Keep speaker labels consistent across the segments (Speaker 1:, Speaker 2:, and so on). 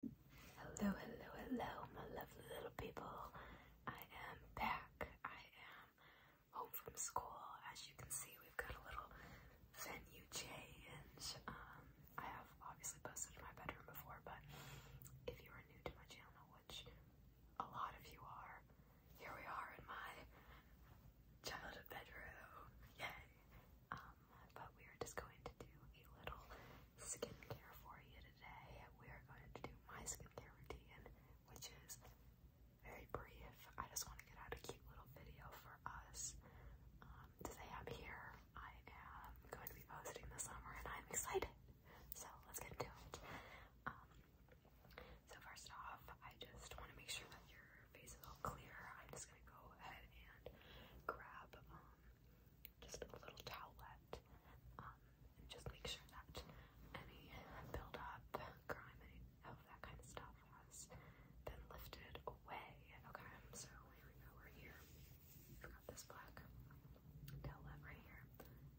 Speaker 1: Hello, hello, hello, my lovely little people. I am back. I am home from school. As you can see, we've got a little venue change. Um, I have obviously posted in my bedroom before, but if you are new to my channel, which a lot of you are, here we are in my childhood bedroom. Yay! Um, but we are just going to do a little skincare for you today. We are going to do my skincare routine, which is very brief. I just want to get out a cute little video for us. Um, today I'm here. I am going to be posting this summer and I'm excited. So let's get into it. Um, so first off, I just want to make sure that your face is all clear, I'm just gonna go ahead and grab um, just a little towelette um, and just make sure that any buildup, grime, any of that kind of stuff has been lifted away. Okay, so here we go, we're here. I've got this black towelette right here. Okay.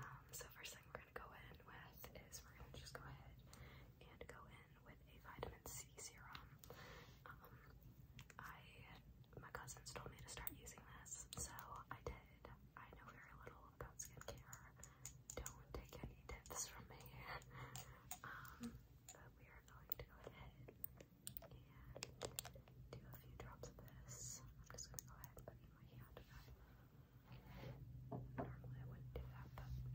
Speaker 1: Um, so first thing we're gonna go in with is we're gonna just go ahead and go in with a vitamin C serum. Um, I my cousins told me to start using this, so I did. I know very little about skincare. Don't take any tips from me. um, but we are going to go ahead and do a few drops of this. I'm just gonna go ahead and put in my hand Normally I wouldn't do that, but for you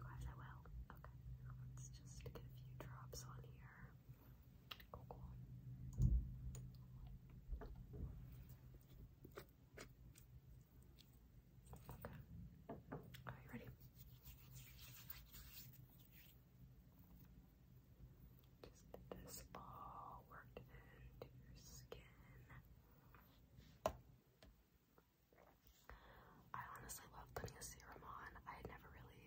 Speaker 1: guys I will. Okay, let's just get a few drops on here. Cool, Okay. ready? Just this all worked into your skin. I honestly love putting a serum on. I had never really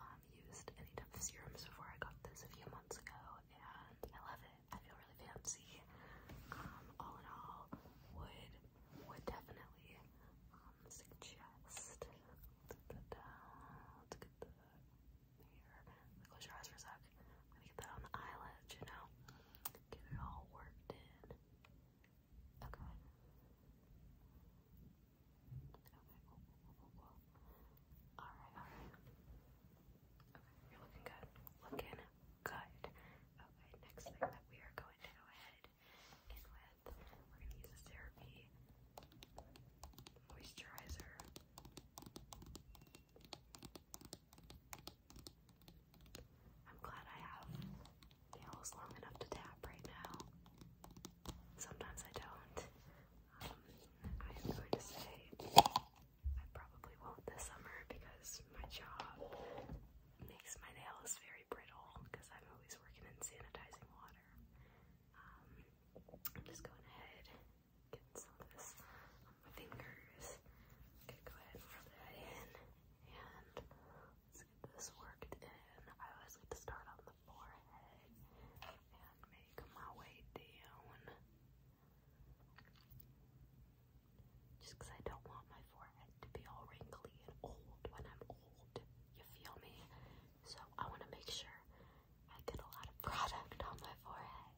Speaker 1: um, used any type of serums before I got this a few months ago, and I love it. I feel really fancy. Um, all in all, would would definitely um, suggest Close your eyes for a sec. I'm gonna get that on the eyelids, you know. Get it all worked in. Okay. Okay, Alright, alright. Okay, you're looking good. Looking good. Okay, next thing that we are going to go ahead in with. We're gonna use this therapy moisturizer. I'm glad I have nails long enough to tap right now. Sometimes I don't. Um, I am going to say I probably won't this summer because my job makes my nails very brittle because I'm always is sanitizing water. Um, I'm just going ahead get some of this on my fingers. go ahead and rub that in, and let's get this worked in. I always like to start on the forehead and make my way down. Just I don't want my to be all wrinkly and old when I'm old. You feel me? So I want to make sure I get a lot of product on my forehead.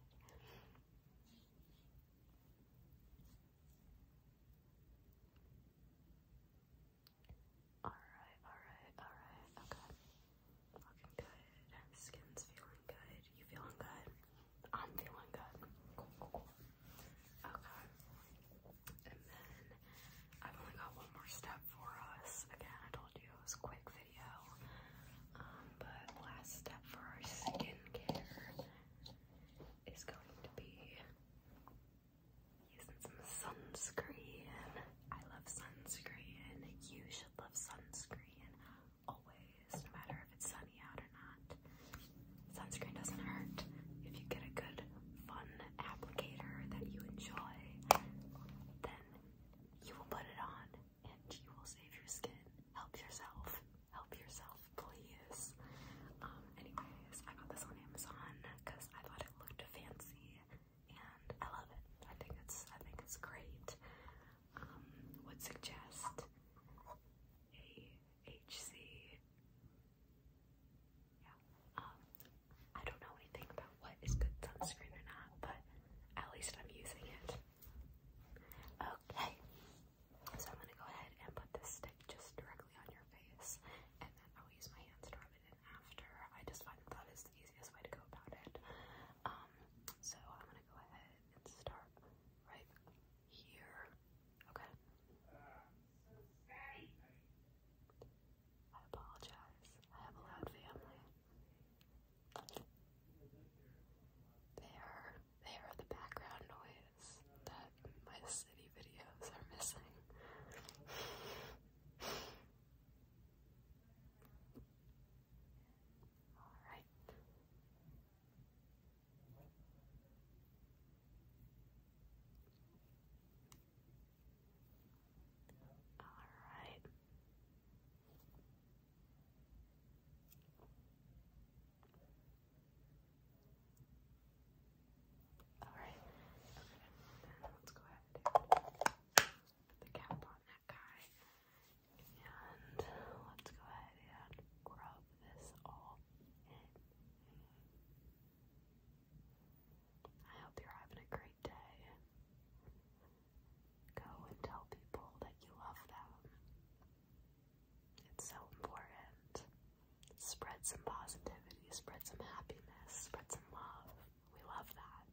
Speaker 1: Alright, alright, alright, okay. Looking good. Skin's feeling good. You feeling good? I'm feeling good. Cool, cool, cool. Okay. And then I've only got one more step for us. Again, I told you it was a quick video. Um, but last step for our skincare is going to be using some sunscreen. I love sunscreen. You should love sunscreen always, no matter if it's sun out or not. Sunscreen doesn't hurt if you get a good, fun applicator that you enjoy. Then you will put it on and you will save your skin. Help yourself. Help yourself, please. Um, anyways, I got this on Amazon because I thought it looked fancy and I love it. I think it's I think it's great. Um, would suggest a HC. Yeah. Um, I don't know anything about what is good sunscreen or not, but at least I'm using it. Okay. So I'm gonna go ahead and put this stick just directly on your face, and then I'll use my hands to rub it in after. I just find that is the easiest way to go about it. Um, so I'm gonna go ahead and start right here. Okay. I apologize. I have a loud family. They are are the background noise that my city videos are missing. Alright. All right. All right. Then let's go ahead and put the cap on that guy. And let's go ahead and grub this all in. I hope you're having a great day. Go and tell people that you love them. It's so important. Spread some positivity, spread some happiness, spread some love. We love that.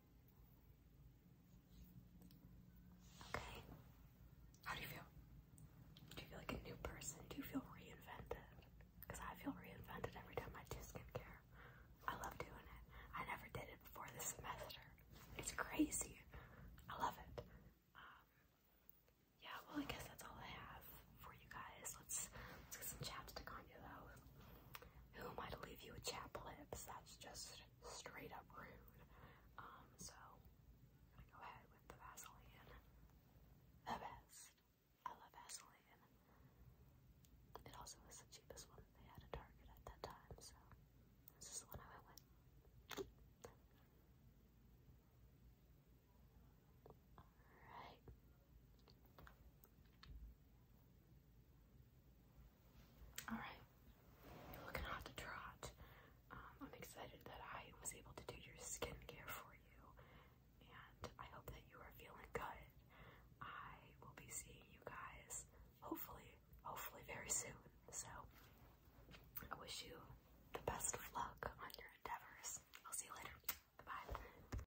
Speaker 1: Okay. How do you feel? Do you feel like a new person? Do you feel reinvented? Because I feel reinvented every time I do skincare. I love doing it. I never did it before this semester. It's crazy. I love it. Um, yeah, well, I guess that's all I have for you guys. Let's, let's get some chapstick on you, though. Who am I to leave you with chapped lips? That's just straight up rude. Um, so I'm gonna go ahead with the Vaseline. The best. I love Vaseline. It also was the cheapest one they had at Target at that time, so this is the one I went with. Alright. Alright, you're looking hot to trot. Um, I'm excited that I was able to do your skincare for you, and I hope that you are feeling good. I will be seeing you guys hopefully, hopefully very soon. So, I wish you the best of luck on your endeavors. I'll see you later. Bye bye.